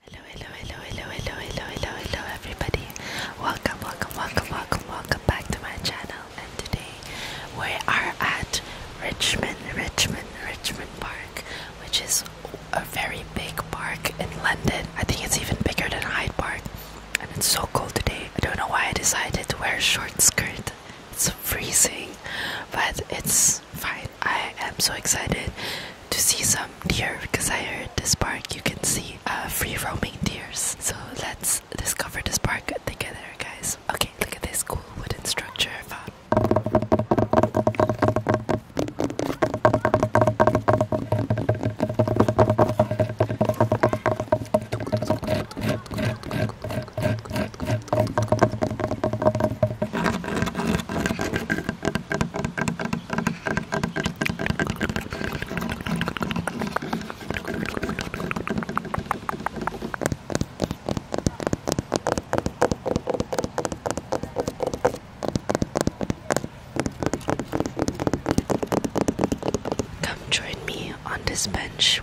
Hello, hello, hello, hello, hello, hello, hello, everybody. Welcome, welcome, welcome, welcome, welcome back to my channel. And today we are at Richmond, Richmond, Richmond Park, which is a very big park in London. I think it's even bigger than Hyde Park. And it's so cold today. I don't know why I decided to wear a short skirt. It's freezing, but it's fine. I am so excited to see some deer because I heard this park you can see uh, free roaming deer. So let's discover this park together, guys. Okay, look at this cool wooden structure Come join me on this bench.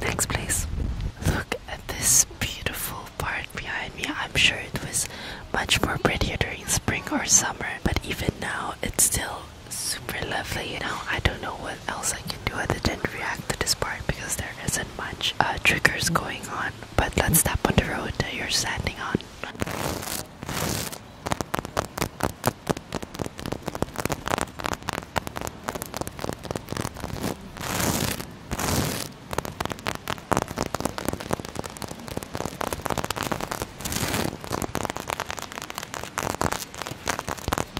Next, place. Look at this beautiful part behind me. I'm sure it was much more prettier during spring or summer, but even now, it's still super lovely, you know. I don't know what else I can do other than react to this part because there isn't much uh, triggers going on. But let's step on the road that you're standing on.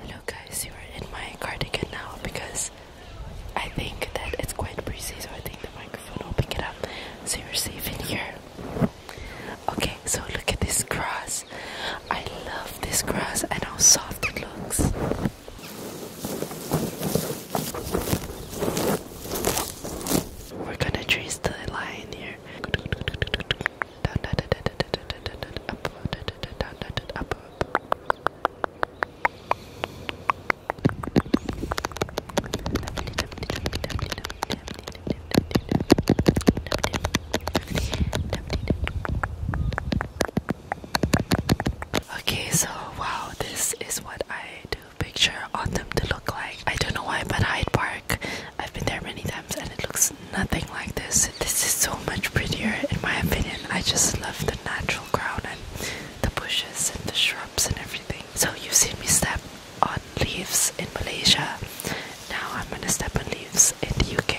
Hello guys, you are in my cardigan now because I think that it's quite breezy, so I think the microphone will pick it up. So you're safe in here. Okay, so look at this grass. I love this grass and how soft it looks. We're gonna trace the line here. Okay, so wow, this is what I do picture on them to look like. I don't know why, but Hyde Park, I've been there many times and it looks nothing like this. This is so much prettier, in my opinion. I just love the natural ground and the bushes and the shrubs and everything. So, you've seen me step on leaves in Malaysia. Now, I'm gonna step on leaves in the UK.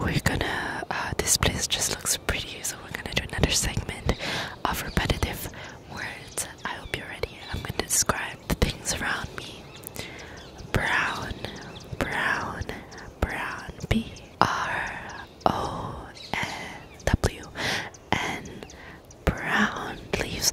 We're gonna, uh, this place just looks pretty, so we're gonna do another segment of repetitive words. I hope you're ready. I'm gonna describe the things around me brown, brown, brown, B R O N W, brown leaves.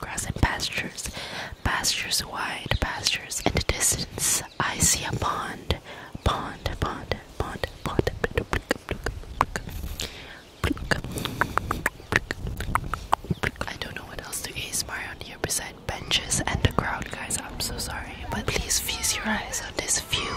grass and pastures, pastures wide, pastures in the distance. I see a pond, pond, pond, pond, pond. I don't know what else to ASMR on here beside benches and the crowd, guys. I'm so sorry, but please feast your eyes on this view.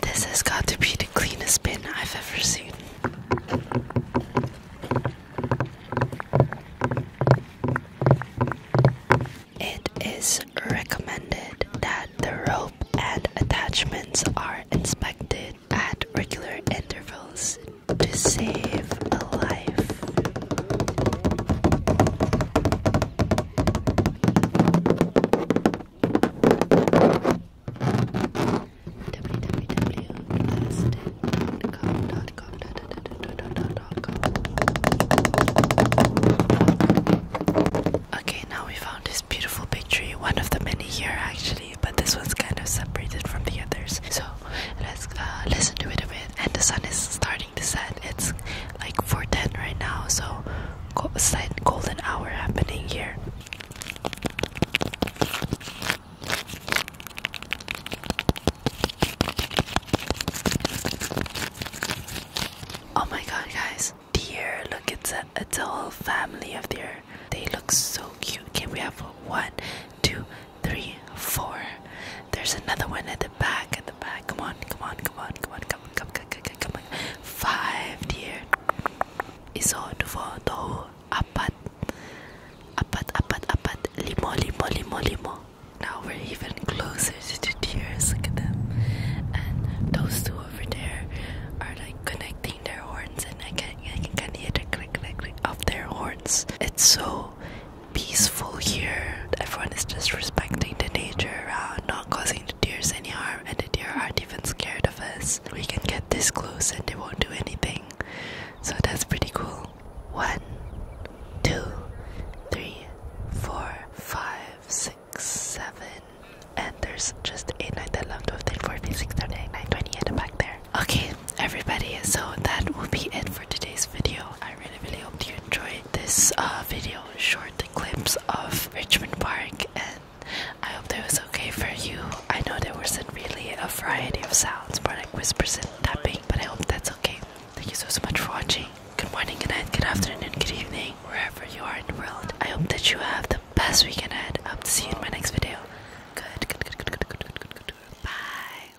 This has got to be the cleanest bin I've ever seen. It is recommended that the rope and attachments are inspected at regular intervals to save a life. Okay, now we found this beautiful big tree, one of the many here actually, but this one's kind of separated from the others. So let's uh, listen to it a bit. And the sun is starting to set. It's like 4:10 right now, so slight golden hour happening here. Oh my god, guys! Deer, look, at a it's a whole family of deer. They look so cute. Okay, we have one, two, three, four. There's another one at the back at the back. Come on, come on, come on, come on, come on, come on, come on, come on. Five, dear. Iso, duvo, dohu, apat. Apat, apat, apat. Limo, limo, limo, limo. Now we're even closer to the tears. Look at them. And those two over there are like connecting their horns, and I can I can hear the click click click of their horns. It's so peaceful here. Everyone is just respecting the nature around, uh, not causing the deer any harm, and the deer aren't even scared of us. We can get this close and they won't do anything. So that's pretty cool. One, two, three, four, five, six, seven, and there's just 8, 9, 10, 11, 12, 13, 14, 16, 17, 18, 19, 20 back there. Okay, everybody, so that will be it for today's video. I really, really hope you enjoyed this uh, video, short clips of Richmond Park, and I hope that was okay for you. I know there wasn't really a variety of sounds, more like whispers and tapping, but I hope that's okay. Thank you so, so much for watching. Good morning, good night, good afternoon, good evening, wherever you are in the world. I hope that you have the best weekend ahead. I hope to see you in my next video. Good, good, good, good, good, good, good, good, good. Bye.